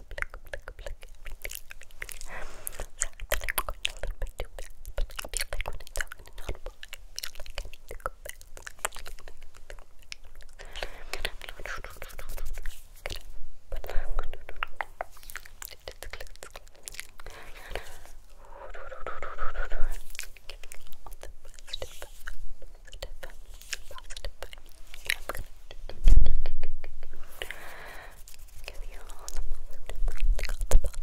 Step, step, step, positive vibes. Give you all the positive